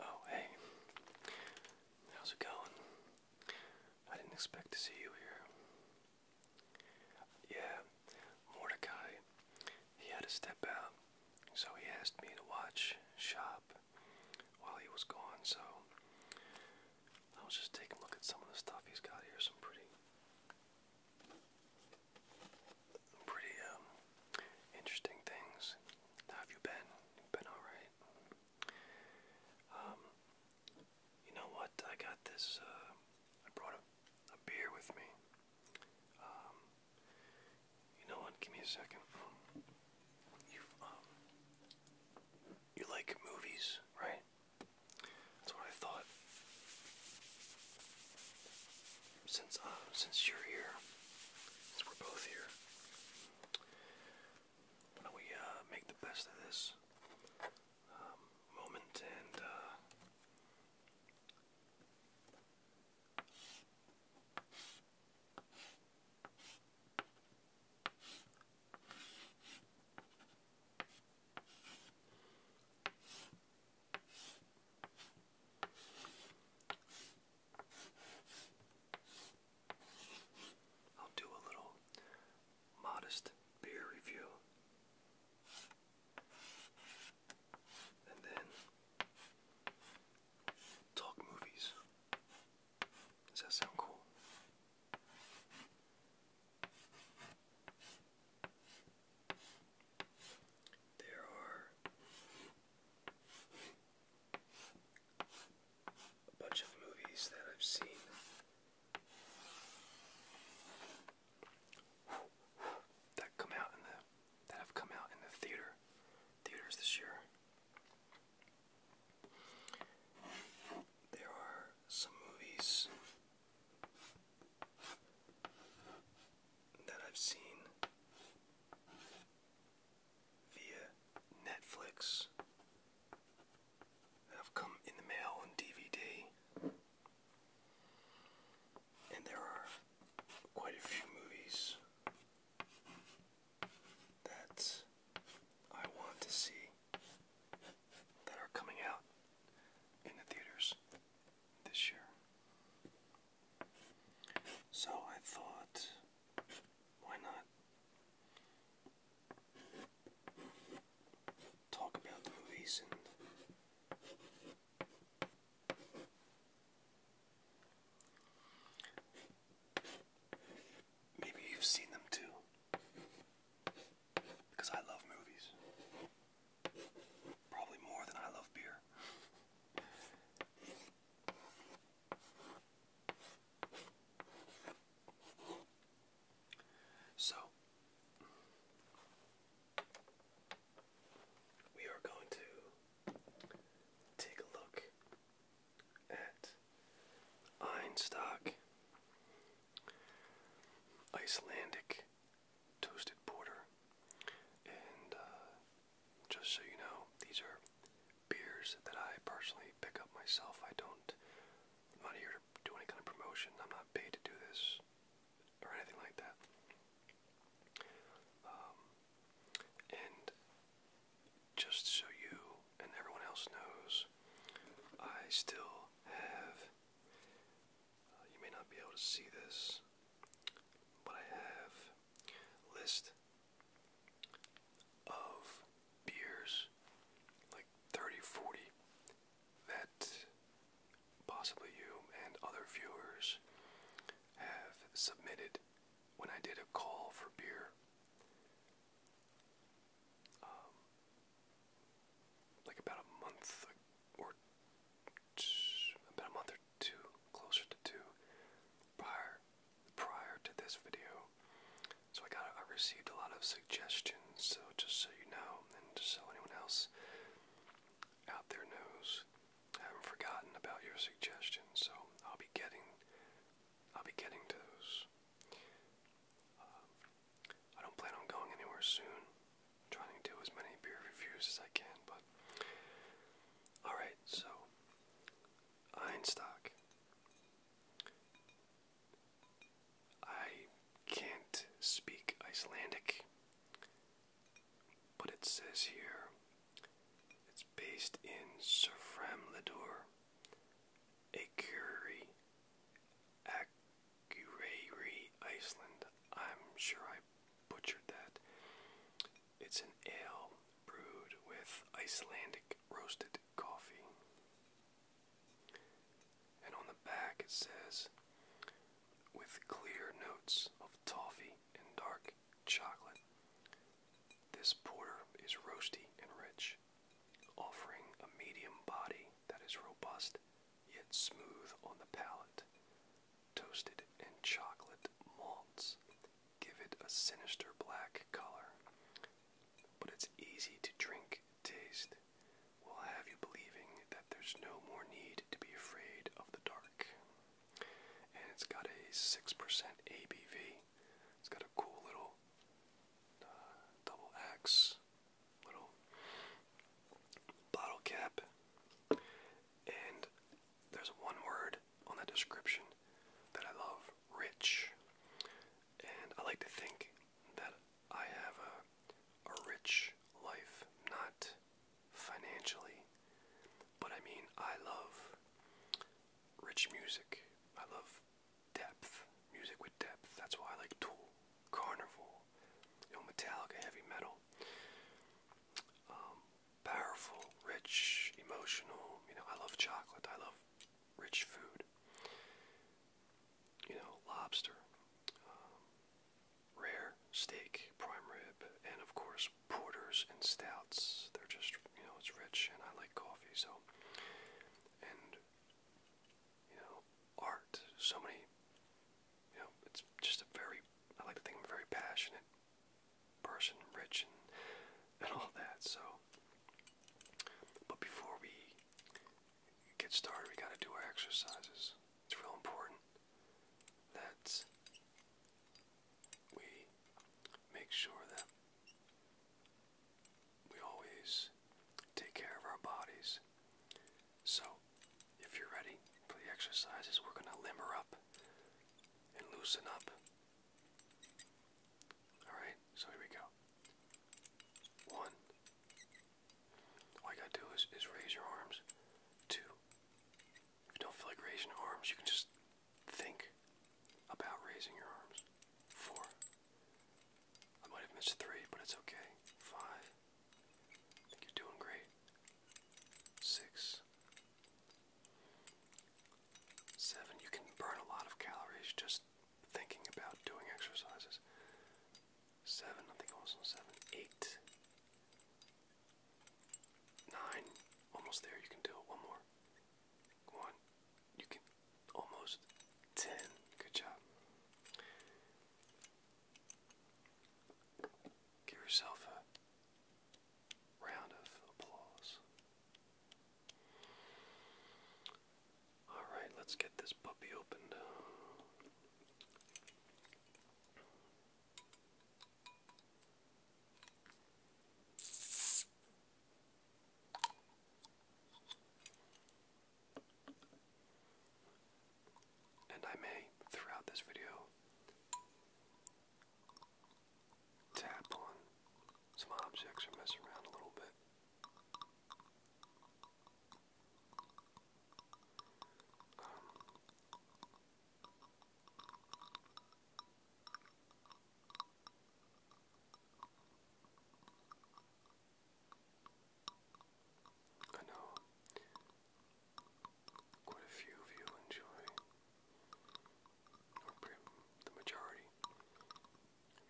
Oh, hey. How's it going? I didn't expect to see you here. Yeah, Mordecai. He had to step out, so he asked me to watch shop while he was gone, so I was just taking a look at some of the stuff he's got here, some pretty pretty um, interesting things. have you been? been alright? Um, you know what? I got this, uh, I brought a, beer with me. Um, you know what? Give me a second. You, you like movies, right? That's what I thought since uh, since you're here, since we're both here, why don't we uh, make the best of this um, moment and uh, I'll do a little modest beer review. And then talk movies. Does that sound cool? There are a bunch of movies that I've seen. That come out in the that have come out in the theater theaters this year. There are some movies that I've seen via Netflix have come in the mail and DVD. And there are quite a few movies that I want to see that are coming out in the theaters this year. So I thought, why not talk about the movies maybe you've seen them too. Because I love movies. Probably more than I love beer. So, we are going to take a look at Einstock Icelandic toasted porter and uh, just so you know, these are beers that I personally pick up myself. I don't, I'm not here to do any kind of promotion. I'm not paid to do this or anything like that. Um, and just so you and everyone else knows, I still have, uh, you may not be able to see this, but I have list of beers, like 30, that possibly you and other viewers have submitted when I did a call for beer. Um, like about a month or about a month or two, closer to two, prior prior to this video. So I got I received a lot of suggestions. So just so you know, and just so anyone else out there knows, I haven't forgotten about your suggestions. So I'll be getting I'll be getting to those. Um, I don't plan on going anywhere soon. trying to do as many beer reviews as I can, but all right. Alright, so Einstock. I can't speak Icelandic, but it says here it's based in Seframlidur, a Akureyri, Iceland. I'm sure I butchered that. It's an ale brewed with Icelandic roasted coffee. And on the back it says, with clear notes of toffee and dark chocolate, this porter is roasty and rich, offering a medium body that is robust yet smooth on the palate, toasted and chocolate malts give it a sinister black color, but it's easy to drink, taste, will have you believing that there's no more need to be afraid of the dark. And it's got a 6% ABV. It's got a cool little uh, double X little bottle cap. And there's one word on that description that I love rich. And I like to think that I have a, rich life, not financially, but I mean, I love rich music. I love depth, music with depth. That's why I like Tool, Carnival, you know, Metallica, heavy metal. Um, powerful, rich, emotional. You know, I love chocolate. I love rich food. You know, lobster, um, rare steak, prime rib, and of course porters and stouts. They're just, you know, it's rich, and I like coffee. So, and you know, art. So many. You know, it's just a very. I like to think I'm very passionate person, rich, and, all that. So, but before we get started, we got to do our exercises. It's real important that we make sure that we always take care of our bodies. So, if you're ready for the exercises, we're going to limber up and loosen up. Alright, so here we go. One. All you gotta do is raise your arms. Two. If you don't feel like raising your arms, you can just think about raising your arms. Four. I might have missed three, but it's okay. Five. I think you're doing great. Six. Seven, you can burn a lot of calories just thinking about doing exercises. Seven, I think also seven. Eight. Nine, almost there, you can do it. One more. One, you can almost. Ten, good job. Give yourself a round of applause. Alright, let's get this puppy opened. And I may, throughout this video, tap on some objects or mess around a little bit. Um, I know Quite a few of you enjoy, or the majority,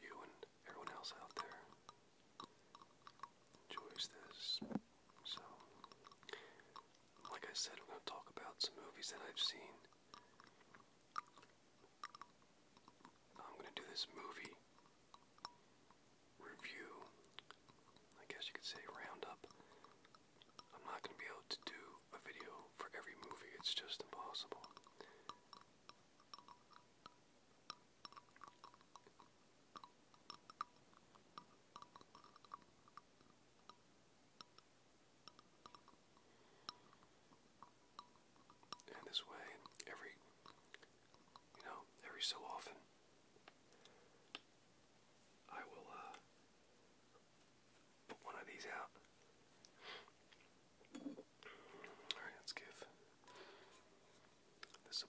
you and everyone else out there enjoys this. So, like I said, I'm going to talk about some movies that I've seen. I'm going to do this movie review, I guess you could say roundup I'm not going to be able to do a video for every movie, it's just impossible. And this way, every, you know, every so often, I will, uh, put one of these out. Alright, let's give this a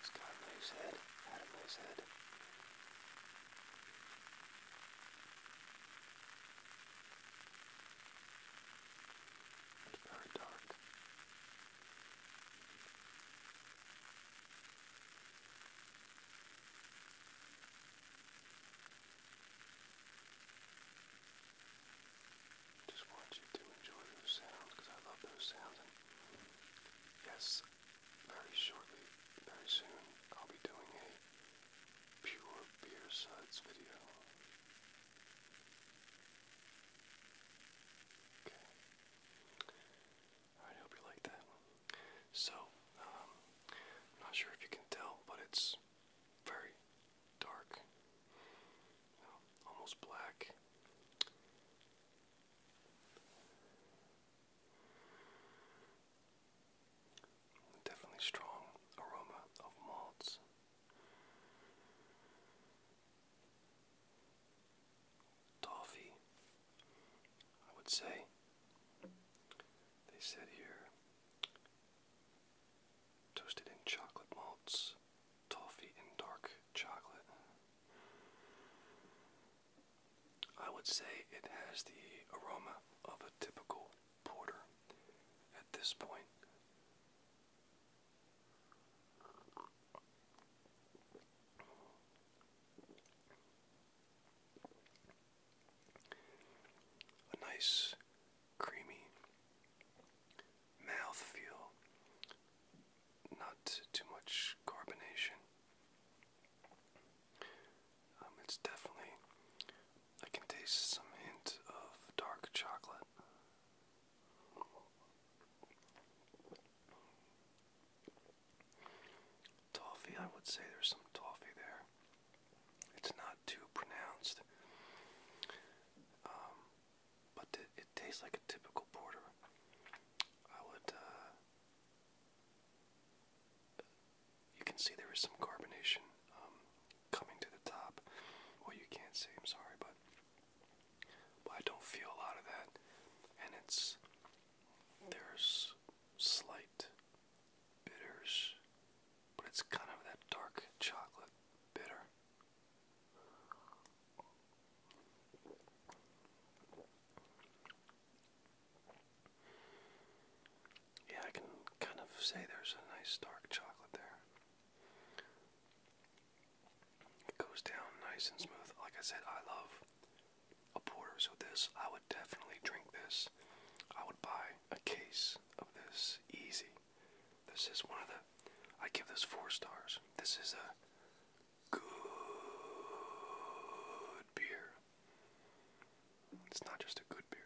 It's got a moose head, had a moose head. It's very dark. It's just want you to enjoy those sounds because I love those sounds. And yes, very shortly, very soon, I'll be doing a pure beer suds video. Okay. I hope you like that. So, um, not sure if you can tell, but it's very dark, almost black. Definitely strong aroma of malts. Toffee, I would say. They said here toasted in chocolate malts, toffee in dark chocolate. I would say it has the aroma of a typical porter at this point. A nice creamy mouth feel, not too much carbonation. Um, it's definitely, I can taste some hint of dark chocolate. Toffee, I would say there's some toffee there. It's not too pronounced, um, but it, tastes like a typical porter. I would. Uh, you can see there is some carbonation um, coming to the top. Well, you can't see. I'm sorry, but but I don't feel a lot of that, and it's there's slight bitters but it's kind of that dark chocolate bitter. Yeah, I can kind of say there's a nice dark chocolate there. It goes down nice and smooth. Like I said, I love a porter, so this, I would definitely drink this. I would buy a case of this easy. This is one of the. I give this four stars. This is a good beer. It's not just a good beer.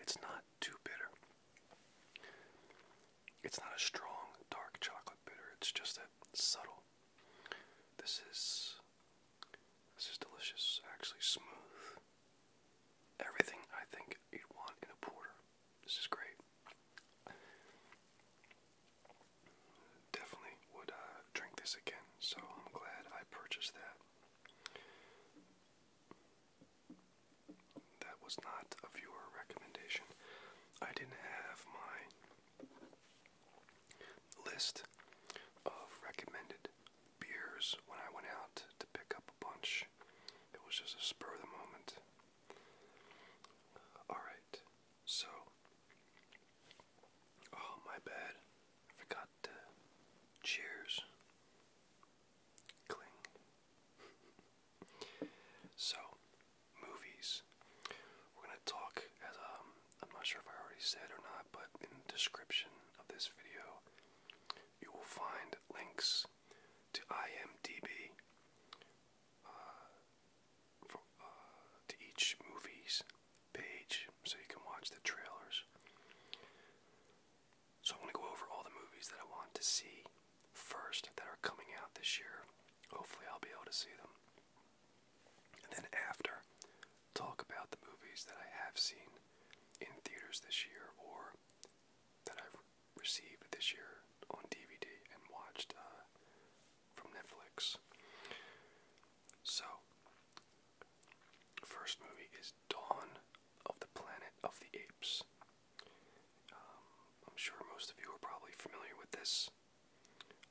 It's not too bitter. It's not a strong dark chocolate bitter, it's just a subtle. This is this is delicious, actually smooth. Everything I think you'd want in a porter. This is great. Definitely would uh, drink this again, so I'm glad I purchased that. That was not a viewer recommendation. I didn't have my list of recommended beers when I went out to pick up a bunch. It was just a spur of the moment. Uh, Alright, so. Oh, my bad. forgot Cheers. Cling. So, movies. We're going to talk, as um, I'm not sure if I already said or not, but in the description of this video, you will find links to IMDb uh, uh, to each movie's page so you can watch the trailers. So, I'm going to go over all the movies that I want to see first that are coming out this year. Hopefully, I'll be able to see them. And then after, talk about the movies that I have seen in theaters this year or that I've received this year on DVD and watched uh, from Netflix. So, first movie is Dawn of the Planet of the Apes. Um, I'm sure most of you are probably familiar with this.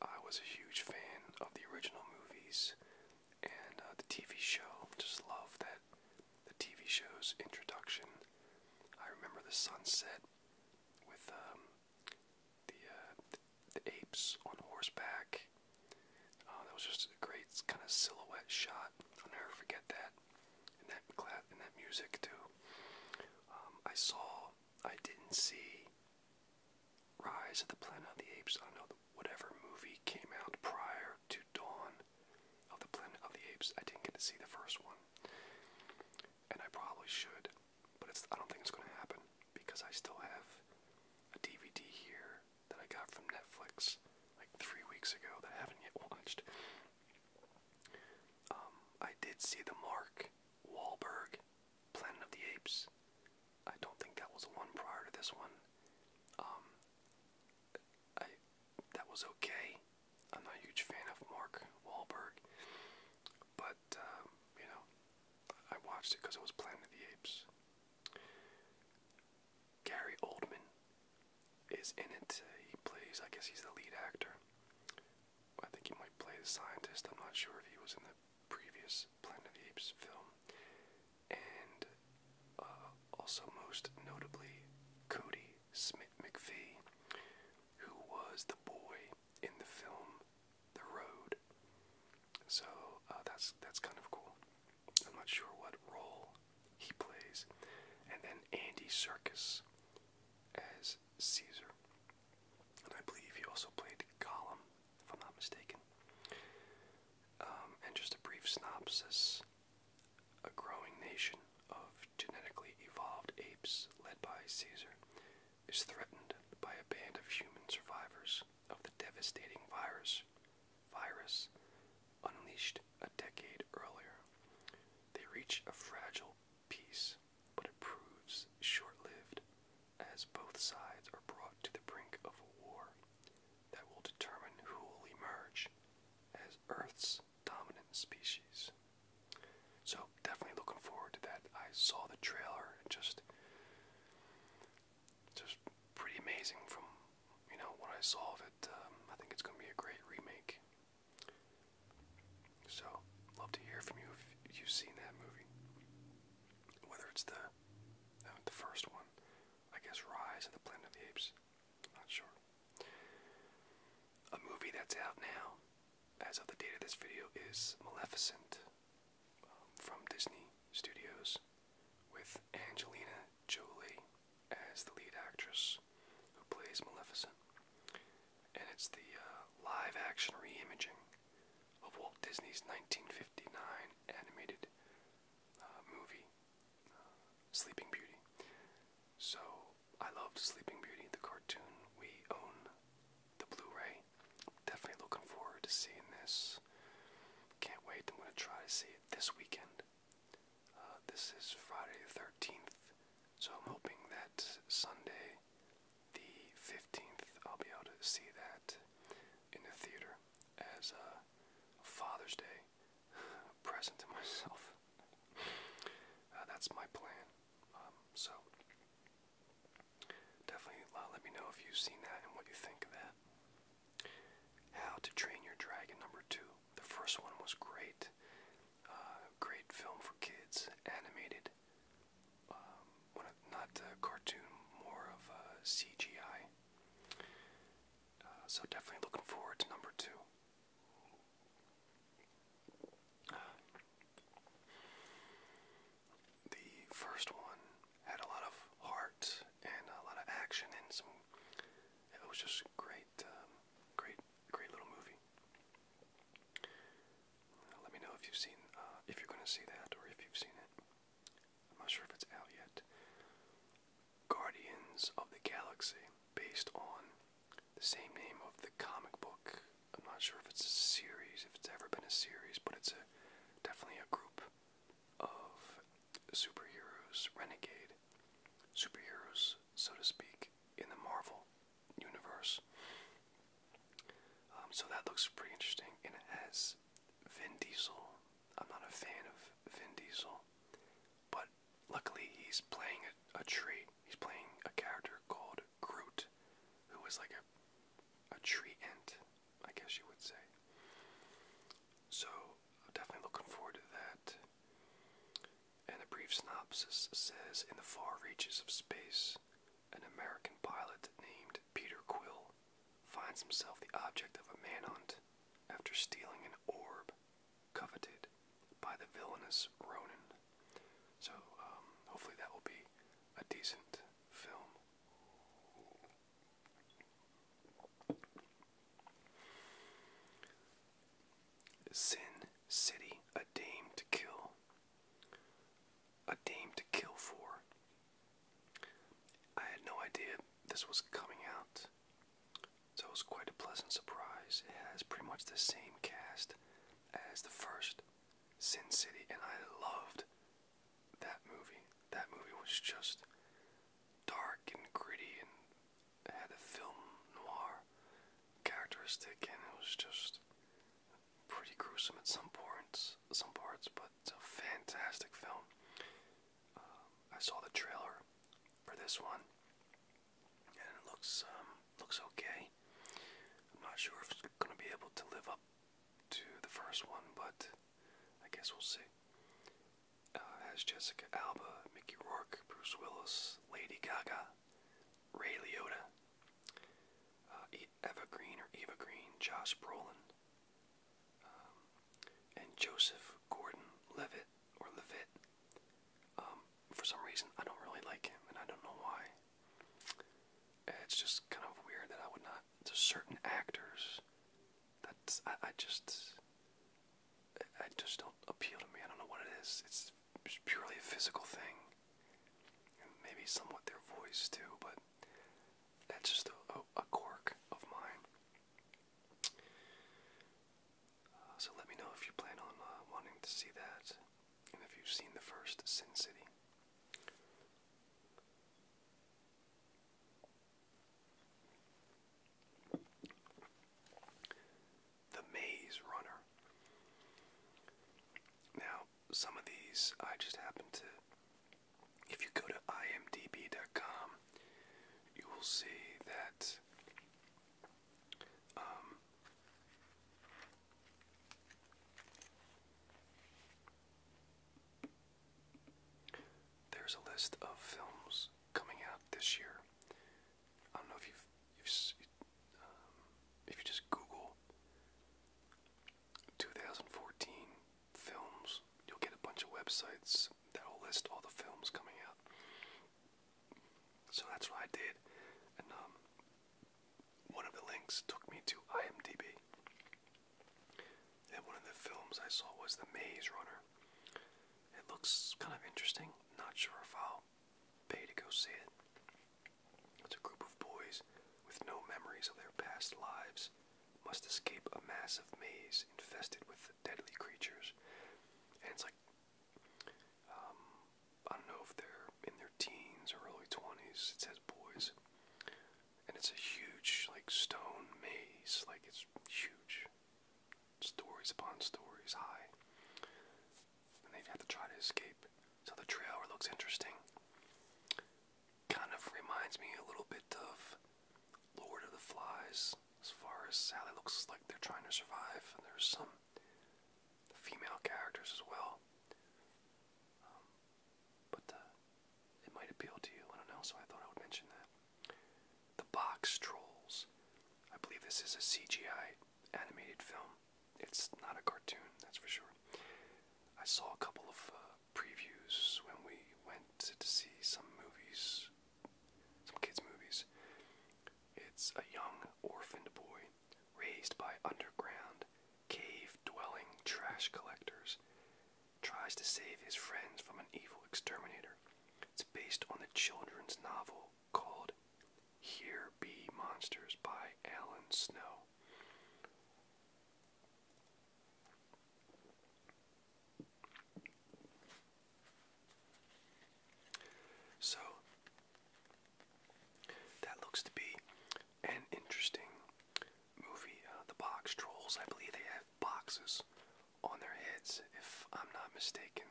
I was a huge fan of the original movies and uh, the TV show. Just love that the TV show's introduction. I remember the sunset with um, the, uh, the apes on horseback. Uh, that was just a great kind of silhouette shot. I'll never forget that and that class and that music too. Um, I saw I didn't see Rise of the Planet of the Apes. I don't know whatever movie came out prior to Dawn of the Planet of the Apes. I didn't get to see the first one, and I probably should, but I don't think it's going to happen because I still have a DVD here that I got from Netflix like three weeks ago that I haven't yet watched. Um, I did see the Mark Wahlberg Planet of the Apes. I don't think that was the one prior to this one. Um, that was okay. I'm not a huge fan of Mark Wahlberg, but uh, you know, I watched it because it was Planet of the Apes. Gary Oldman is in it. He plays, I guess, he's the lead actor. I think he might play the scientist. I'm not sure if he was in the previous Planet of the Apes film. And uh, also, most notably, Cody Smith McPhee, who was the boy in the film The Road. So uh, that's that's kind of cool. I'm not sure what role he plays. And then Andy Circus as Caesar. I believe he also played Gollum, if I'm not mistaken. Um, and just a brief synopsis a growing nation of genetically evolved apes led by Caesar is threatened by a band of human survivors of the devastating virus virus unleashed a decade earlier. They reach a fragile peace but it proves short lived as both sides are brought to the brink of a war that will determine who will emerge as Earth's dominant species. So, definitely looking forward to that. I saw the trailer, just, just pretty amazing from, you know, what I saw of it. Um, I think it's going to be a great remake. So, love to hear from you if you've seen that movie. Whether it's the uh, the first one, I guess Rise of the Planet of the Apes. not sure. A movie that's out now, as of the date of this video, is Maleficent um, from Disney Studios with Angelina Jolie as the lead actress who plays Maleficent. And it's the uh, live action reimaging of Walt Disney's 1959 animated uh, movie, uh, Sleeping Beauty. So I loved Sleeping Beauty, the cartoon. We own the Blu ray. Definitely looking forward to seeing this. Can't wait. I'm going to try to see it this weekend. this is Friday the 13th. So I'm hoping that Sunday, the 15th, I'll be able to see that in the theater as a Father's Day present to myself. Uh, that's my plan. Um, so definitely uh, let me know if you've seen that and what you think of that. How to Train Your Dragon number two. The first one was great. Uh, great film for kids, animated. Um, not a cartoon, more of a CGI. Uh, so definitely looking forward to number two. the first one had a lot of heart and a lot of action and It was just great, um, great, great little movie let me know if you've seen, uh, if you're going to see that, or if you've seen it. I'm not sure if it's out yet. Guardians of the Galaxy, based on the same name of the comic book. I'm not sure if it's a series, if it's ever been a series, but it's a definitely a group of superheroes, renegade superheroes so to speak, in the Marvel universe. Um, so that looks pretty interesting, and it has Vin Diesel. I'm not a fan of Vin Diesel, but luckily he's playing a, tree. He's playing a character called Groot, was like a a tree ant, I guess you would say. So I'm definitely looking forward to that and a brief synopsis says in the far reaches of space, an American pilot named Peter Quill finds himself the object of a manhunt after stealing an orb coveted by the villainous Ronin. So, um, hopefully, that will be a decent film. Sin City, a dame to kill. A dame to kill for. I had no idea this was coming out, so it was quite a pleasant surprise. It has pretty much the same cast as the first Sin City, and I loved that movie. That movie was just dark and gritty and had a film noir characteristic, and it was just pretty gruesome at some points, some parts. But it's a fantastic film. Um, I saw the trailer for this one, and it looks um, looks okay. I'm not sure if it's gonna be able to live up to the first one, but I guess we'll see. Uh, has Jessica Alba, Mickey Rourke, Bruce Willis, Lady Gaga, Ray Liotta, uh, Eva Green or Eva Green, Josh Brolin, um, and Joseph Gordon-Levitt or Levitt. Um, for some reason, I don't really like him, and I don't know why. It's just kind of weird that I would not. To certain actors, that I, I just, I just don't appeal to me. I don't know what it is. It's just purely a physical thing, and maybe somewhat their voice too, but that's just a, quirk of mine. Uh, so let me know if you plan on uh, wanting to see that, and if you've seen the first Sin City. The Maze Runner. Now, some of these I just happen to. If you go to imdb.com, you will see that um, there's a list of films coming out this year. I don't know if you um, if you just Google 2014 films, you'll get a bunch of websites that'll list all the films coming out. So that's what I did, and um, one of the links took me to IMDb. And one of the films I saw was The Maze Runner. It looks kind of interesting. Not sure if I'll Pay to go see it. It's a group of boys with no memories of their past lives must escape a massive maze infested with deadly creatures. And it's like, um, I don't know if they're in their teens or early 20s. It says boys. And it's a huge, like, stone maze. Like, it's huge. Stories upon stories high they have to try to escape. So the trailer looks interesting. Kind of reminds me a little bit of Lord of the Flies, as far as how it looks like they're trying to survive. And there's some female characters as well. Um, but uh, it might appeal to you, I don't know, so I thought I would mention that. The Box Trolls. I believe this is a CGI animated film it's not a cartoon, that's for sure. I saw a couple of uh, previews when we went to see some movies, some kids' movies. It's a young orphaned boy raised by underground cave dwelling trash collectors, tries to save his friends from an evil exterminator. It's based on the children's novel called Here Be Monsters by Alan Snow. So, that looks to be an interesting movie. Uh, the box trolls, I believe they have boxes on their heads, if I'm not mistaken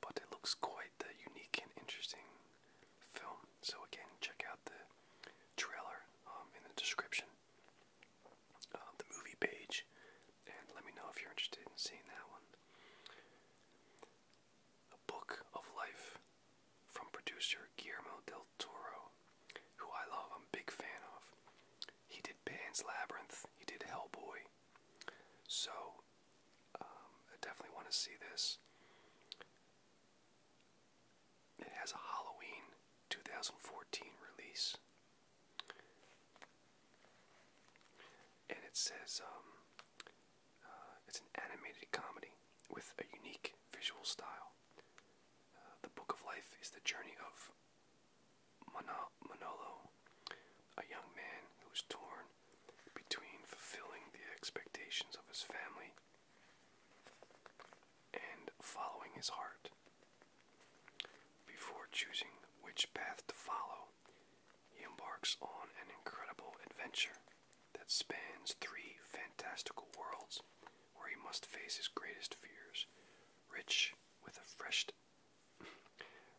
but it looks quite a uh, unique and interesting film. So again, check out the trailer um, in the description, uh, the movie page, and let me know if you're interested in seeing that one. A Book of Life from producer Guillermo del Toro, who I love, I'm a big fan of. He did Pan's Labyrinth, he did Hellboy. So um, I definitely want to see this. It has a Halloween 2014 release. And it says um, uh, it's an animated comedy with a unique visual style. Uh, the Book of Life is the journey of Manolo, a young man who is torn between fulfilling the expectations of his family and following his heart. Before choosing which path to follow, he embarks on an incredible adventure that spans three fantastical worlds where he must face his greatest fears, rich with a fresh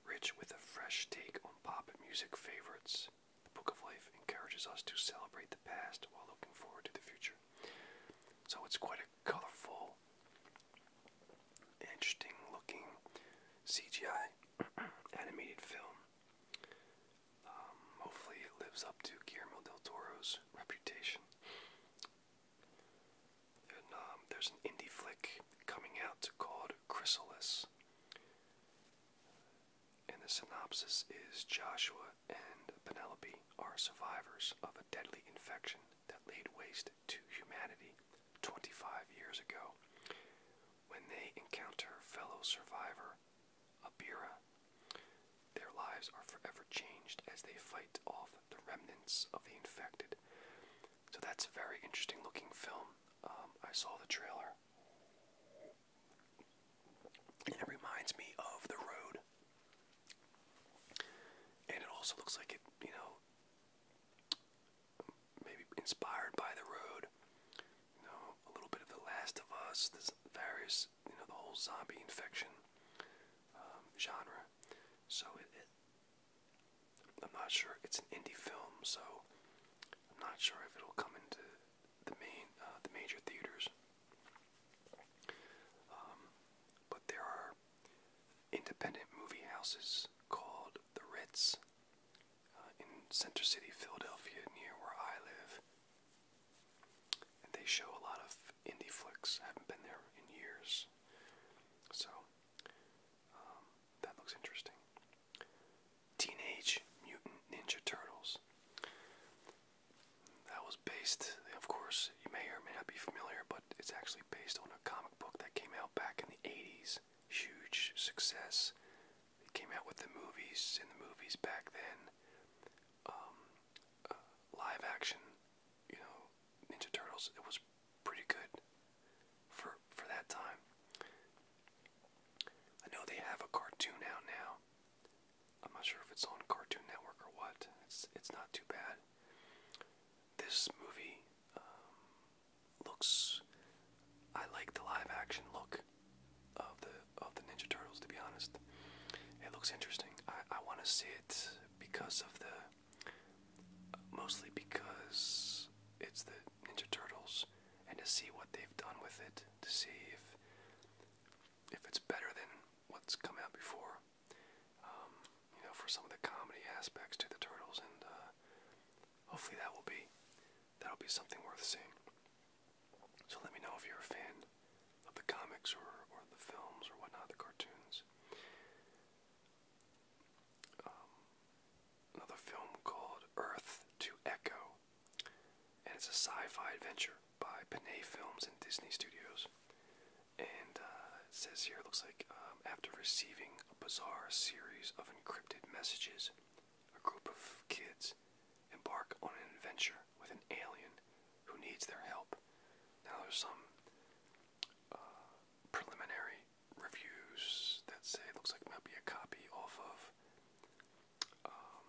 rich with a fresh take on pop music favorites the Book of Life encourages us to celebrate the past while looking forward to the future. So it's quite a colorful, interesting looking CGI animated film. Um, hopefully, it lives up to Guillermo del Toro's reputation. And um, there's an indie flick coming out called Chrysalis. And the synopsis is Joshua and Penelope are survivors of a deadly infection that laid waste to humanity 25 years ago when they encounter fellow survivor Abira. Their lives are forever changed as they fight off the remnants of the infected. So that's a very interesting looking film. Um, I saw the trailer it reminds me of the road. And it also looks like it, you know, maybe inspired by the road. You know, a little bit of The Last of Us, this various, you know, the whole zombie infection um, genre. So I'm not sure. It's an indie film, so I'm not sure if it'll come into the main, uh, the major theaters. Um, but there are independent movie houses called the Ritz uh, in Center City, Philadelphia, near where I live, and they show a lot of indie flicks. I haven't been there in years, so that looks interesting. Teenage Mutant Ninja Turtles. That was based, of course, you may or may not be familiar, but it's actually based on a comic book that came out back in the 80s. Huge success. It came out with the movies, in the movies back then. Um, uh, live action, you know, Ninja Turtles. It was pretty good for for that time. I know they have a cartoon out now. I'm not sure if it's on Cartoon Network or what. It's it's not too bad. This movie um, looks. I like the live action look of the of the Ninja Turtles. To be honest, it looks interesting. I I want to see it because of the. Mostly because it's the Ninja Turtles and to see what they've done with it, to see if if it's better than what's come out before. Um, you know, for some of the comedy aspects to the turtles, and uh, hopefully that will be that'll be something worth seeing. So let me know if you're a fan of the comics or or the films or whatnot, the cartoons. Um, another film called Earth to Echo, and it's a sci-fi adventure by Panay Films and Disney Studios. And uh, it says here, it looks like um, after receiving a bizarre series of encrypted messages, a group of kids embark on an adventure with an alien who needs their help. Now, there's some uh, preliminary reviews that say it looks like it might be a copy off of um,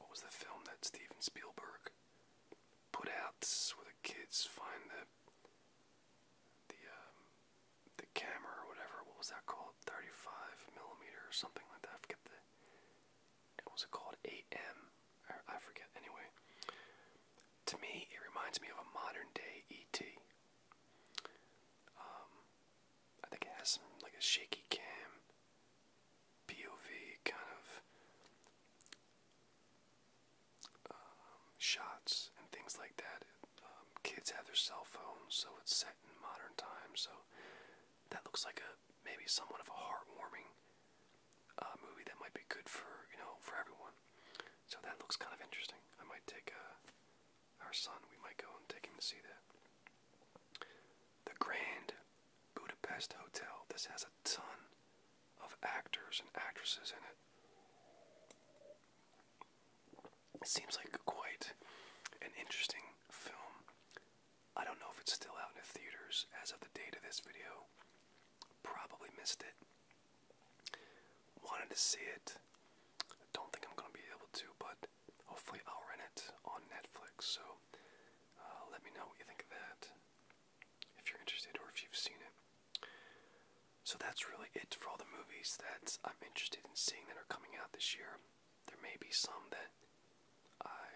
what was the film that Steven Spielberg put out where the kids find the the um, the camera or whatever. What was that called? 35 millimeter or something like that. I forget the. What was it called? 8M. I forget. Anyway, to me, it reminds me of a modern day ET. Um, I think it has some like a shaky cam, POV kind of um, shots and things like that. Um, kids have their cell phones, so it's set in modern times. So that looks like a maybe somewhat of a heartwarming uh, movie that might be good for you know for everyone. So that looks kind of interesting. I might take a our son, we might go and take him to see that. The Grand Budapest Hotel. This has a ton of actors and actresses in it. It seems like quite an interesting film. I don't know if it's still out in the theaters as of the date of this video. Probably missed it. Wanted to see it. I don't think I'm going to be able to, but hopefully I'll rent it on Netflix. So uh, let me know what you think of that if you're interested or if you've seen it. So that's really it for all the movies that I'm interested in seeing that are coming out this year. There may be some that I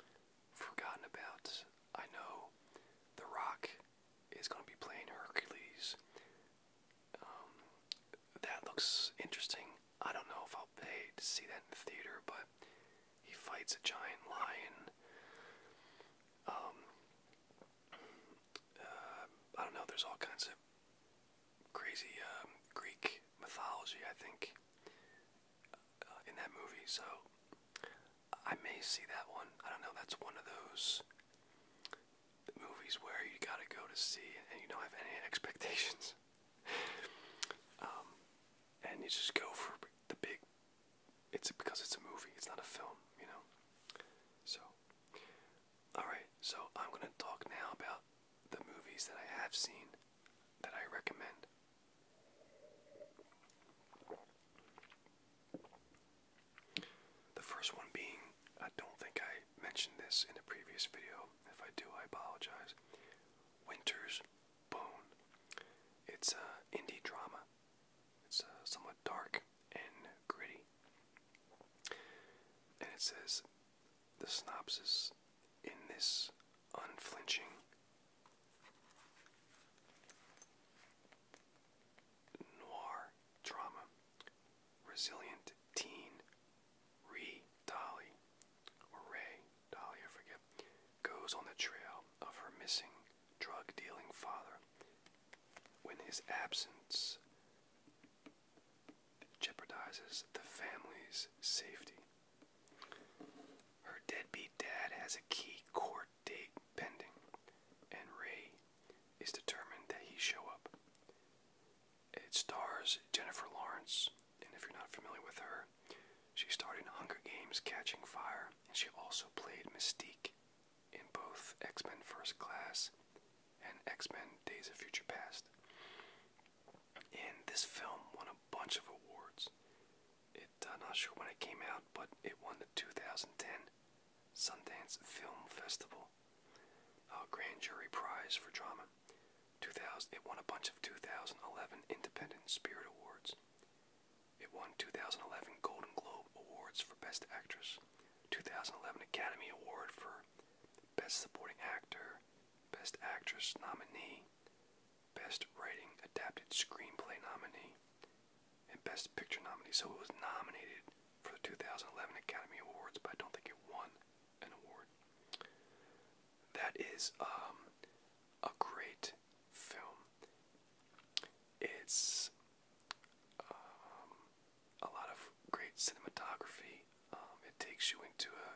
have forgotten about. I know The Rock is going to be playing Hercules. Um, that looks interesting. I don't know if I'll pay to see that in the theater, but he fights a giant lion. Um, uh, I don't know. There's all kinds of crazy um, Greek mythology, I think, uh, in that movie. So I may see that one. I don't know. That's one of those movies where you gotta go to see and you don't have any expectations. um, and you just go for the big. It's because it's a movie, it's not a film, you know? So, alright, so I'm gonna talk now about the movies that I have seen that I recommend. The first one being, I don't think I mentioned this in a previous video. If I do, I apologize. Winter's Bone. It's an indie drama. It's uh, somewhat dark and gritty. And it says the synopsis in this unflinching noir drama. Resilient teen Ree Dolly, or Ray Dolly, I forget, goes on the trail of her missing drug dealing father when his absence jeopardizes the family's safety. Her deadbeat dad has a key court date pending, and Ray is determined that he show up. It stars Jennifer Lawrence, and if you're not familiar with her, she starred in Hunger Games Catching Fire, and she also played Mystique in both X Men First Class and X Men Days of Future Past. And this film won a bunch of awards. It, I'm not sure when it came out, but it won the 2010 Sundance Film Festival Grand Jury Prize for Drama. 2000, it won a bunch of 2011 Independent Spirit Awards. It won 2011 Golden Globe Awards for Best Actress, 2011 Academy Award for Best Supporting Actor, Best Actress Nominee, Best Writing Adapted Screenplay Nominee, and Best Picture Nominee. So it was nominated for the 2011 Academy Awards, but I don't think it won an award. That is um, a great film. It's um, a lot of great cinematography. Um, it takes you into a,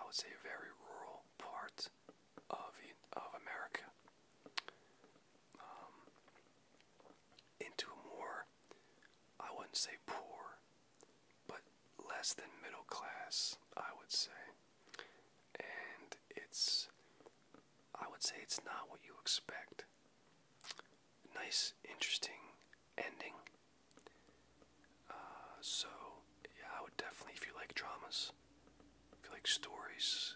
I would say, a very rural part of of America into a more, I wouldn't say poor, but less than middle class, I would say. And it's, I would say it's not what you expect. Nice, interesting ending. Uh, so, yeah, I would definitely, if you like dramas, if you like stories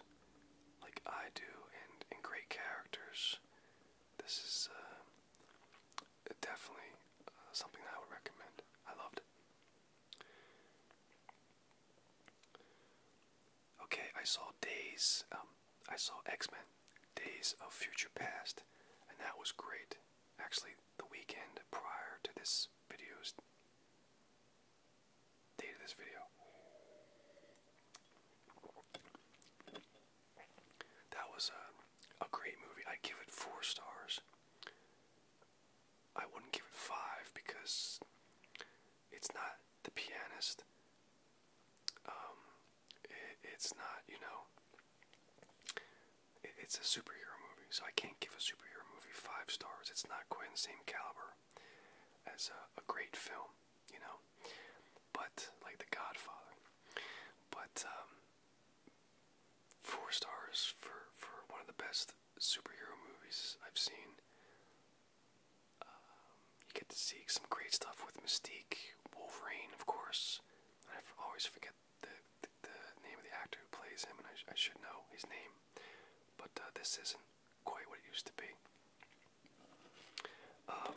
like I do, and, and great characters, this is uh, definitely uh, something that I would recommend. I loved it. Okay, I saw Days. Um, I saw X Men, Days of Future Past, and that was great. Actually, the weekend prior to this video's date of this video, that was a, great movie. i give it four stars. I wouldn't give it five because it's not The Pianist. Um, it's not, you know, it's a superhero movie, so I can't give a superhero movie five stars. It's not quite in the same caliber as a, a great film, you know but like The Godfather. But um, four stars for for one of the best superhero movies I've seen. Um, you get to see some great stuff with Mystique, Wolverine, of course. I always forget the, the, name of the actor who plays him, and I, should know his name. But uh, this isn't quite what it used to be. Um,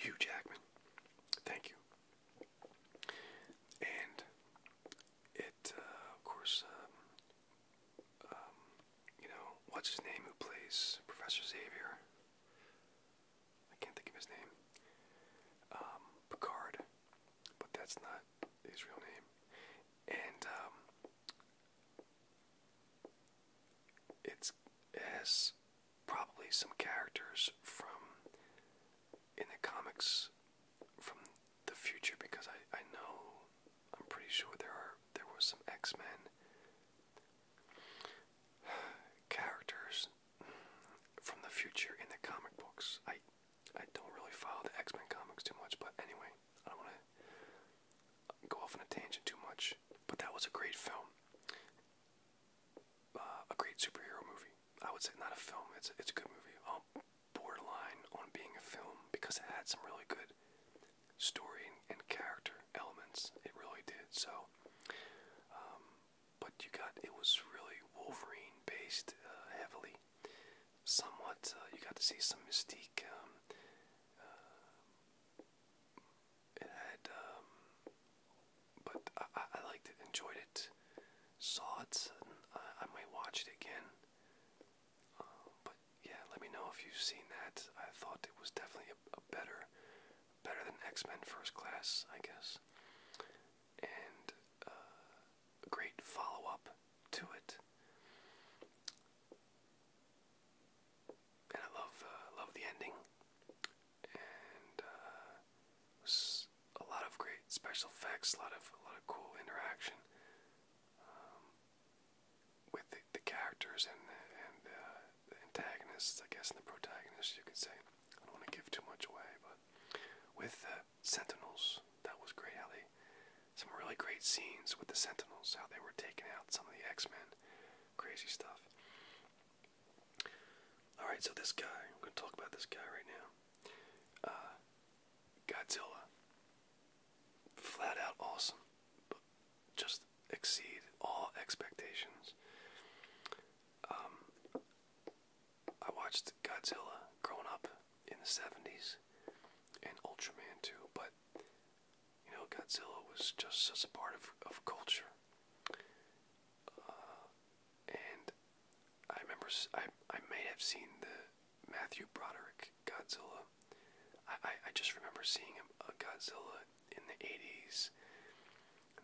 Hugh Jackman, thank you. And it, uh, of course, um, um, you know, what's his name who plays Professor Xavier? I can't think of his name. Um, Picard, but that's not his real name. And um, it's, it probably some characters from in the comics from the future because I, I know I'm pretty sure there are there were some X Men characters from the future in the comic books. I I don't really follow the X Men comics too much, but anyway, I don't want to go off on a tangent too much. But that was a great film, uh, a great superhero movie. I would say not a film. It's it's a good movie. Um, borderline on being a film because it had some really good story and character elements. It really did. So, um, but you got it was really Wolverine based uh, heavily. Somewhat, uh, you got to see some mystique. Um, uh, it had, um, but I, liked it, enjoyed it, saw it, I, might watch it again. Uh, but yeah, let me know if you've seen that. I thought it was definitely a better better than X Men First Class, I guess, and a uh, great follow up to it. And I love uh, love the ending, and was uh, a lot of great special effects, a lot of a lot of cool interaction um, with the, characters and and the antagonists, I guess, and the protagonists, you could say. I don't want to give too much away, but with the Sentinels, that was great. How they some really great scenes with the Sentinels, how they were taking out some of the X-Men, crazy stuff. All right, so this guy, I'm gonna talk about this guy right now. Uh, Godzilla, flat out awesome, but just exceed all expectations. Um, I watched Godzilla growing up in the 70s and Ultraman too, but you know, Godzilla was just such a part of, of culture. Uh, and I remember I, I may have seen the Matthew Broderick Godzilla. I, I, just remember seeing a uh, Godzilla in the 80s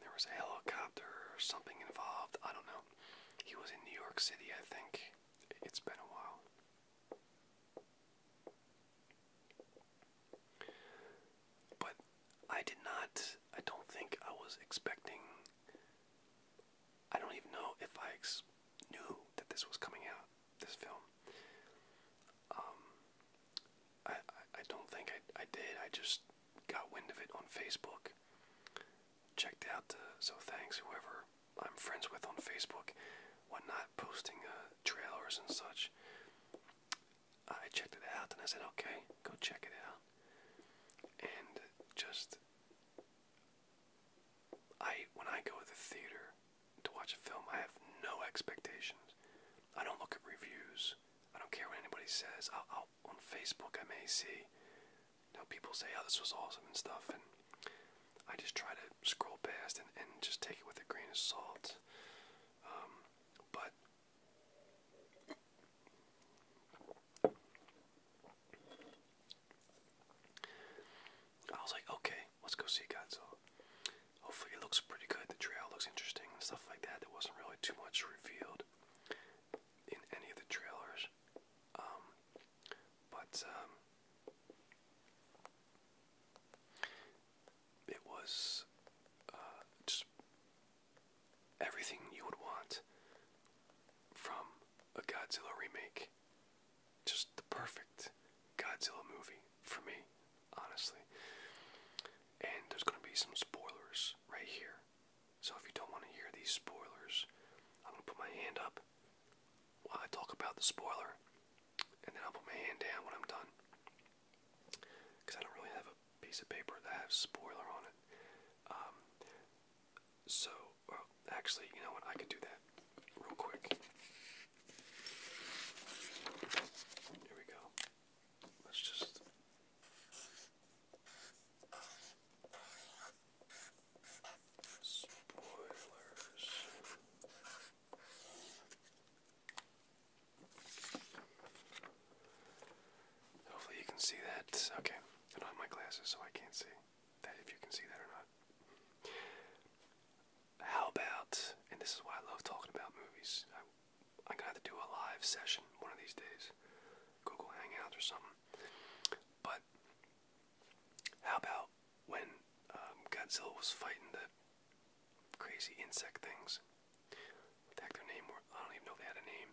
there was a helicopter or something involved. I don't know. He was in New York City, I think. It's been a while. But I did not, I don't think I was expecting, I don't even know if I knew that this was coming out, this film. Um, I, I, don't think I, I did. I just got wind of it on Facebook. Checked out, so thanks, whoever I'm friends with on Facebook, whatnot, posting uh, trailers and such. I checked it out and I said, okay, go check it out. And just, I when I go to the theater to watch a film, I have no expectations. I don't look at reviews. I don't care what anybody says. I'll on Facebook, I may see. You know, people say, oh, this was awesome and stuff, and I just try to scroll past and, just take it with a grain of salt. Um, but I was like, okay, let's go see Godzilla. Hopefully, it looks pretty good. The trail looks interesting and stuff like that. There wasn't really too much revealed in any of the trailers. Um, but um, it was uh, just everything you would want from a Godzilla remake. Just the perfect Godzilla movie for me, honestly. And there's going to be some spoilers right here so if you don't want to hear these spoilers, I'm gonna put my hand up while I talk about the spoiler, and then I'll put my hand down when I'm done. Because I don't really have a piece of paper that has spoiler on it. Um, so, actually, you know what? I could do that real quick. Here we go. Let's just Spoilers. Hopefully, you can see that. Okay, I don't have my glasses, so I can't see that if you can see that or not. How about, and this is why I love talking about movies, I'm gonna have to do a live session one of these days, Google Hangouts or something. But how about when um, Godzilla was fighting the crazy insect things? What heck their name were? I don't even know they had a name.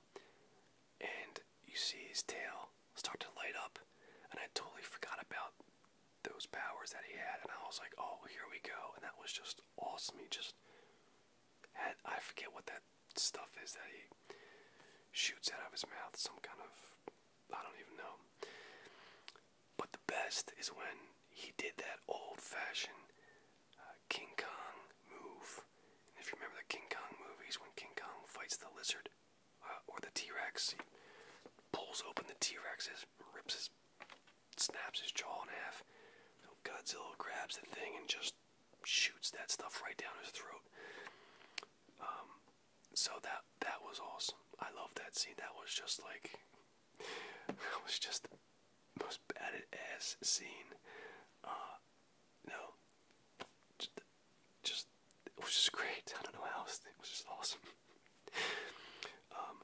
And you see his tail start to light up, and I totally forgot about those powers that he had, and I was like, oh, here we go, and that was just awesome. He just had I forget what that stuff is that he shoots out of his mouth, some kind of I don't even know. But the best is when he did that old-fashioned uh, King Kong move. if you remember the King Kong movies, when King Kong fights the lizard uh, or the T-Rex, he pulls open the T-Rexes, rips his, snaps his jaw in half. Godzilla grabs the thing and just shoots that stuff right down his throat. Um, so that that was awesome. I love that scene. That was just like that was just the most bad scene. Uh, no, just, just it was just great. I don't know how else. It was just awesome. um,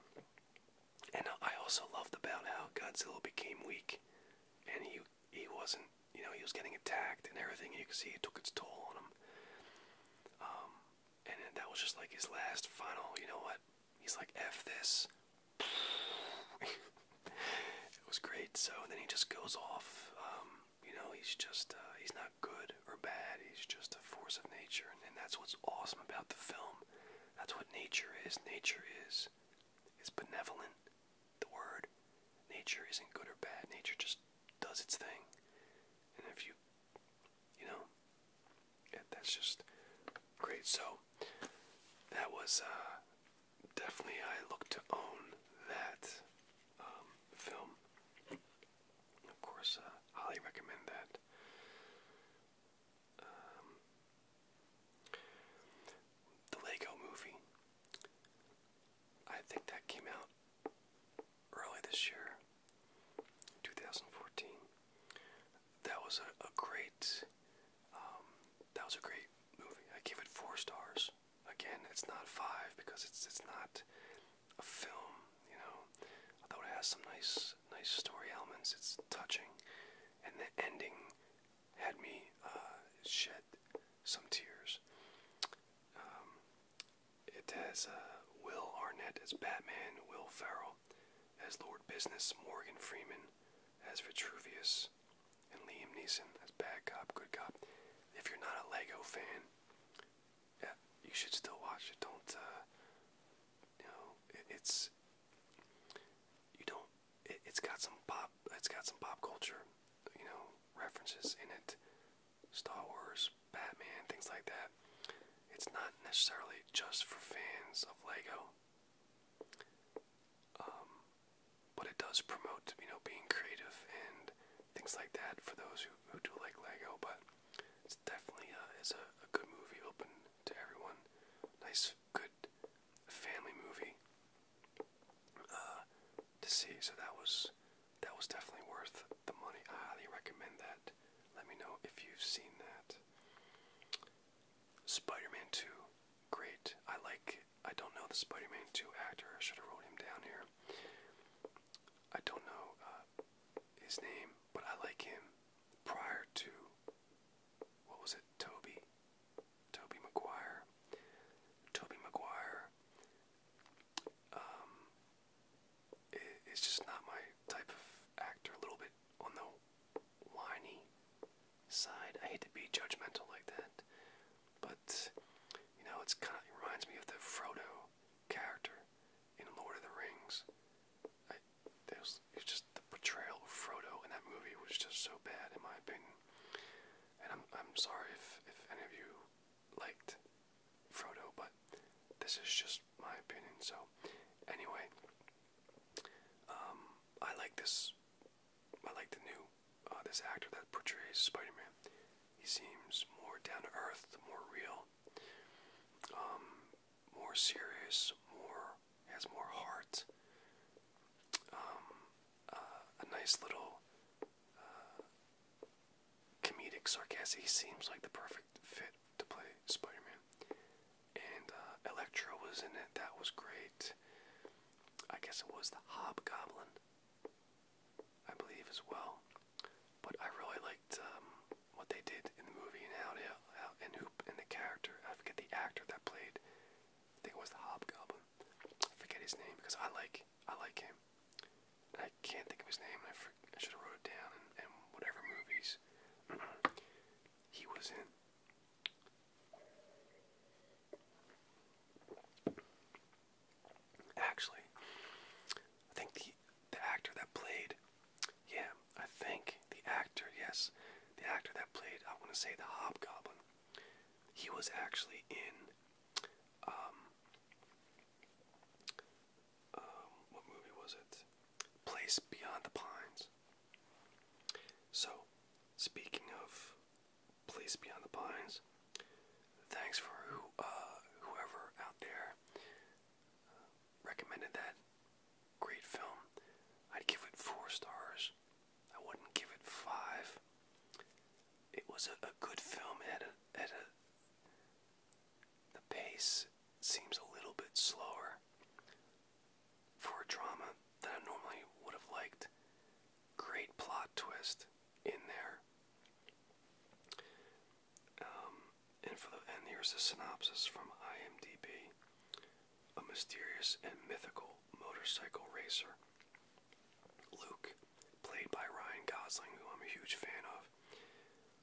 and I also loved about how Godzilla became weak, and he he wasn't you know he was getting attacked and everything you can see it took its toll on him um, and that was just like his last final you know what he's like f this it was great so then he just goes off um, you know he's just uh, he's not good or bad he's just a force of nature and, and that's what's awesome about the film that's what nature is nature is is benevolent the word nature isn't good or bad. Nature just does its thing. And if you, you know, that's just great. So that was uh, definitely, I look to own that um, film. Of course, uh, highly recommend that. Um, the Lego movie. I think that came out early this year, 2014. That was a, great, um, that was a great movie. I give it four stars. Again, it's not five because it's it's not a film, you know. Although it has some nice nice story elements, it's touching, and the ending had me uh, shed some tears. Um, it has uh, Will Arnett as Batman, Will Ferrell as Lord Business, Morgan Freeman as Vitruvius, and Liam Neeson as Bad Cop, Good Cop. If you're not a Lego fan, yeah, you should still watch it. Don't, uh, you know, it, it's you don't it, has got some pop. It's got some pop culture, you know, references in it. Star Wars, Batman, things like that. It's not necessarily just for fans of Lego. Um, but it does promote, you know, being creative and things like that for those who, who do like Lego. But it's definitely is a good movie, open to everyone. Nice, good good family movie uh, to see. So that was that was definitely worth the money. I highly recommend that. Let me know if you've seen that. Spider-Man 2, great. I like. I don't know the Spider-Man 2 actor. I should have wrote him down here. I don't know uh, his name, but I like him. Prior to what was it, Toby? Toby Maguire. Toby Maguire um, is just not my type of actor. A little bit on the whiny side. I hate to be judgmental like that, but you know, it's kind of reminds me of the Frodo character in Lord of the Rings. I, just the portrayal of Frodo in that movie was just so bad, in my opinion. And I'm I'm sorry if if any of you liked Frodo, but this is just my opinion. So, anyway, um, I like this. I like the new uh, this actor that portrays Spider-Man. He seems more down to earth, more real, um, more serious, more more has more heart. Um, uh, a nice little uh, comedic sarcasm. seems like the perfect fit to play Spider-Man. And uh, Electro was in it. That was great. I guess it was the Hobgoblin, I believe, as well. But I really liked um, what they did in the movie and how, they, how and who and the character. I forget the actor that played I think it was the Hobgoblin. forget his name because I like I like him. I can't think of his name. I, should have wrote it down. and whatever movies he was in. Actually, I think the the actor that played, yeah, I think the actor, yes, the actor that played, I want to say the Hobgoblin, he was actually in um, um, what movie was it? Place Beyond the Pines. So, speaking of Place Beyond the Pines, thanks for uh, whoever out there uh, recommended that great film. I'd give it four stars I wouldn't give it five. It was a, good film at a at a the pace seems a little bit slower for a drama that I normally would have liked. Great plot twist in there. Um, and for and here's the synopsis from IMDb a mysterious and mythical motorcycle racer. Luke, played by Ryan Gosling, who I'm a huge fan of,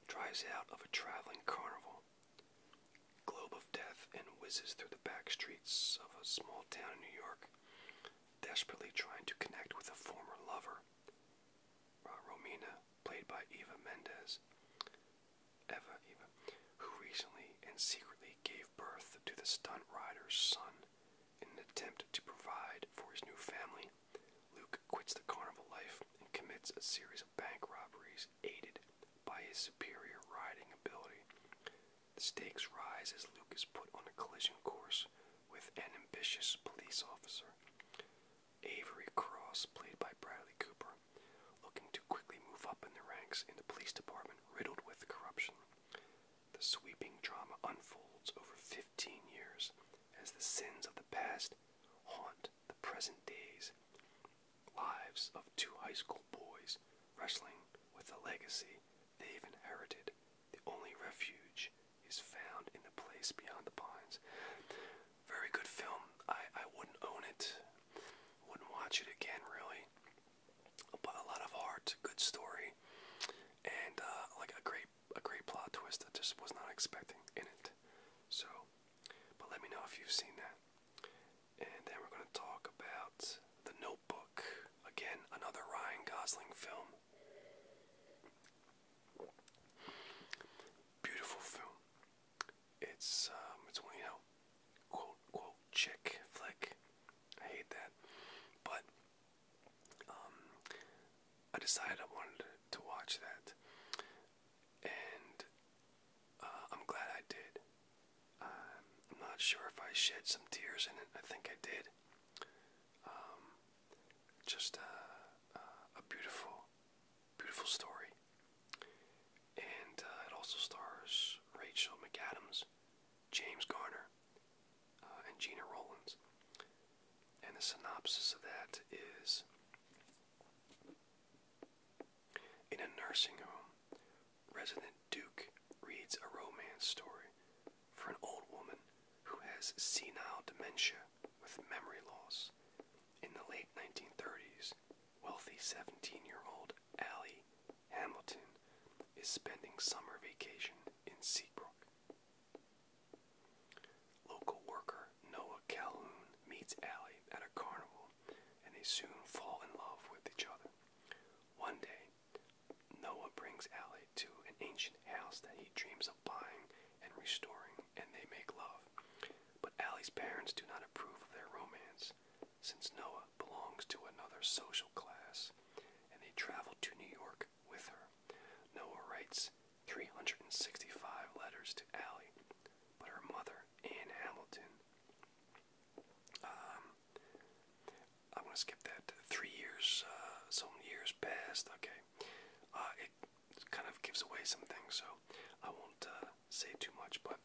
drives out of a traveling carnival, globe of death, and whizzes through the back streets of a small town in New York, desperately trying to connect with a former lover, uh, Romina, played by Eva Mendes. Eva, Eva, who recently and secretly gave birth to the stunt rider's son. In an attempt to provide for his new family, Luke quits the carnival life and commits a series of bank robberies aided by his superior riding ability. The stakes rise as Luke is put on a collision course with an ambitious police officer. Avery Cross, played by Bradley Cooper, looking to quickly move up in the ranks in the police department riddled with corruption. The sweeping drama unfolds over 15 years as the sins of the past haunt the present days. Lives of two high school boys wrestling with the legacy they've inherited. The only refuge is found in the place beyond the pines. Very good film. I, I wouldn't own it. Wouldn't watch it again, really but a lot of heart, good story, and uh, like a great a great plot twist that just was not expecting in it. So, but let me know if you've seen that. And then we're gonna talk about The Notebook. Again, another Ryan Gosling film. Beautiful film. It's um, it's one you know quote quote chick flick. I hate that. But um I decided I wanted to, watch that. And uh, I'm glad I did. I'm not sure if I shed some tears in it. I think I did. Um, just uh, uh, a beautiful, beautiful story. And it also stars Rachel McAdams, James Garner, uh, and Gina Rollins. And the synopsis of that is In a nursing home, resident Duke reads a romance story for an old woman who has senile dementia with memory loss. In the late 1930s, wealthy 17 year old Allie Hamilton is spending summer vacation in Seabrook. Local worker Noah Calhoun meets Allie at a carnival and they soon fall in love with each other. One day, Noah brings Allie to an ancient house that he dreams of buying and restoring, and they make love. But Allie's parents do not approve of their romance since Noah belongs to another social class, and they traveled to New York with her. Noah writes 365 letters to Allie, but her mother, Anne Hamilton, um, I'm to skip that. Three years, uh, some years passed. Okay, uh, it kind of gives away some things, so I won't uh, say too much. But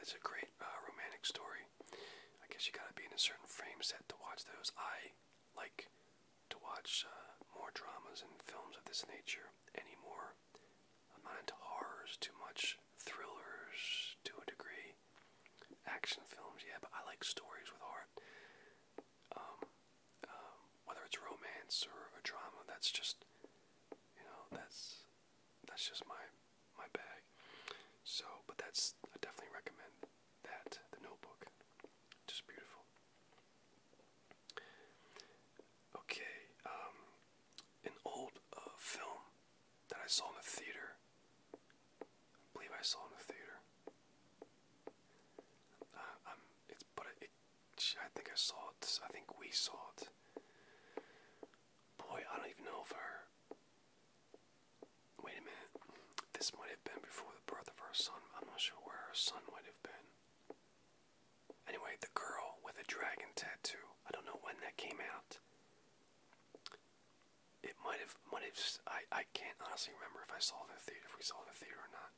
it's a great uh, romantic story. I guess you gotta be in a certain frame set to watch those. I like to watch uh, more dramas and films of this nature anymore. I'm not into horrors too much, thrillers to a degree, action films, yeah, but I like stories with heart. Um, um, whether it's romance or, a drama, that's just, you know, that's that's just my my bag. So, but that's I definitely recommend that the Notebook, just beautiful. Okay, um, an old uh, film that I saw in the theater. believe I saw in the theater. Uh, um, it's but it, I think I saw it. I think we saw it. Boy, I don't even know for. our Wait a minute. This might have been before the birth of her son. I'm not sure where her son might have been. Anyway, the girl with a dragon tattoo. I don't know when that came out. It might have, might have. I, I can't honestly remember if I saw it in the theater, if we saw it in the theater or not.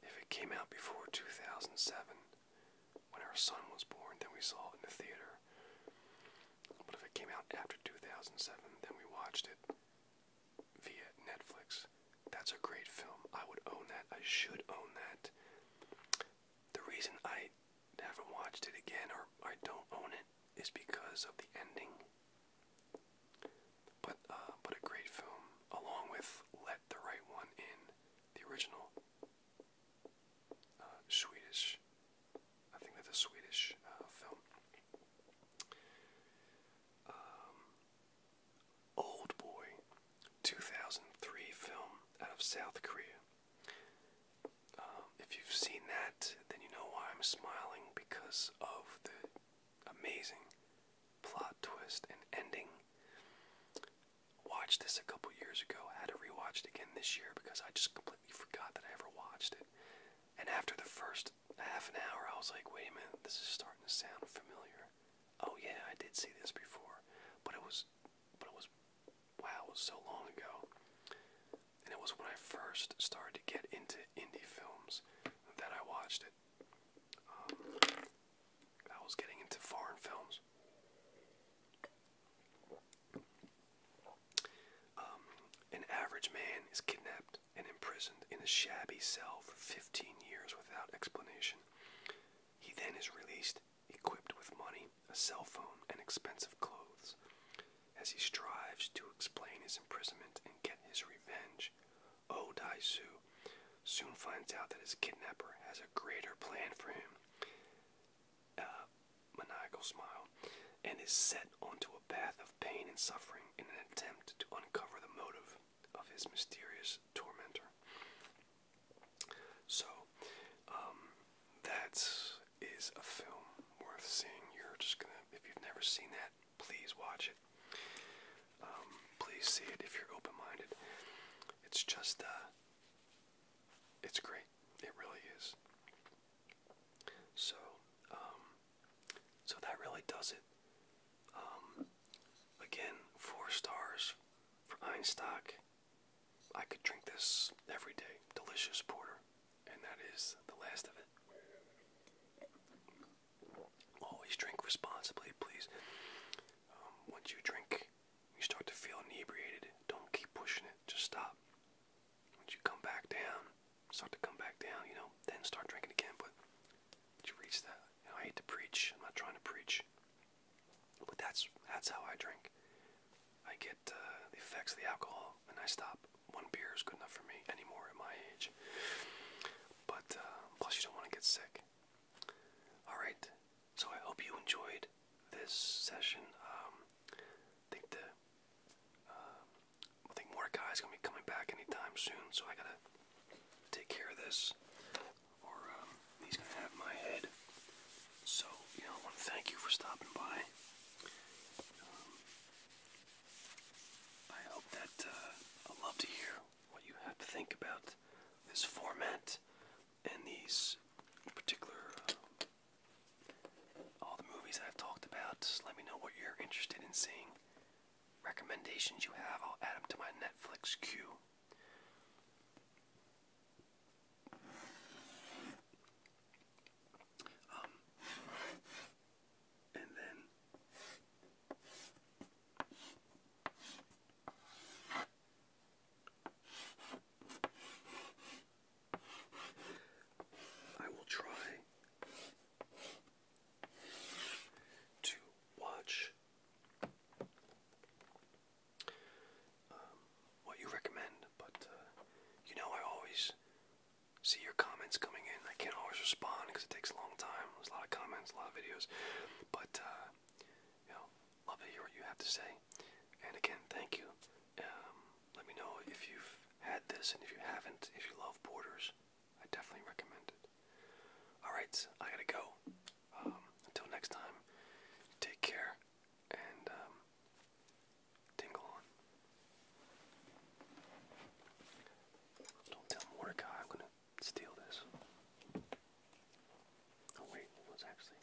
If it came out before 2007, when our son was born, then we saw it in the theater. But if it came out after 2007, then we watched it via Netflix. That's a great film. I would own that. I should own that. The reason I haven't watched it again or I don't own it is because of the ending. But uh, but a great film, along with Let the Right One In, the original uh, Swedish. I think that's a Swedish uh, film. Um, Old Boy, 2003 film out of South Korea. Um, if you've seen that, then you know why I'm smiling because of the amazing plot twist and ending. Watched this a couple years ago. I had to rewatch it again this year because I just completely completely forgot that I ever watched it. And after the first half an hour, I was like, wait a minute, this is starting to sound familiar. Oh yeah, I did see this before, but it was, but it was, wow, it was so long ago. And it was when I first started to get into indie films that I watched it. Um, I was getting into foreign films. Um, an average man is kidnapped and imprisoned in a shabby cell for 15 years without explanation. He then is released, equipped with money, a cell phone, and expensive clothes. As he strives to explain his imprisonment and get his revenge, O oh Dai Su soon finds out that his kidnapper has a greater plan for him. Uh, maniacal smile, and is set onto a path of pain and suffering in an attempt to uncover the motive of his mysterious tormentor. So, um, that is a film worth seeing. You're just gonna, if you've never seen that, please watch it. Um, please see it if you're open-minded. It's just, uh, it's great. It really is. So, um, so that really does it. Um, again, four stars for Einstock. I could drink this every day. Delicious porter, and that is the last of it. Always drink responsibly, please. Um, once you drink, you start to feel inebriated. Don't keep pushing it. Just stop. Once you come back down, start to come back down, you know, then start drinking again. But once you reach that, I hate to preach. I'm not trying to preach, but that's that's how I drink. I get uh, the effects of the alcohol, and I stop. One beer is good enough for me anymore at my age. But uh, plus, you don't want to get sick. All right. So I hope you enjoyed this session. Um, um, I think the I think Mordecai is gonna be coming back anytime soon, so I gotta take care of this, or um, he's gonna have my head. So you know, I want to thank you for stopping by. Um, I hope that uh, I'd love to hear what you have to think about this format and these particular all the movies I've talked about. let me know what you're interested in seeing. Recommendations you have, I'll add them to my Netflix queue. Um, and then I will try to watch um, what you recommend, but uh, you know, I always see your comments coming in. I can't always respond because it takes a long time. There's a lot of comments, a lot of videos, but uh, you know, love to hear what you have to say. And again, thank you um, let me know if you've had this, and if you haven't, if you love borders, I definitely recommend it. Alright, I gotta go. Um, until next time, take care and um, tingle on. Don't tell Mordecai I'm gonna steal this. Oh, wait, it was actually.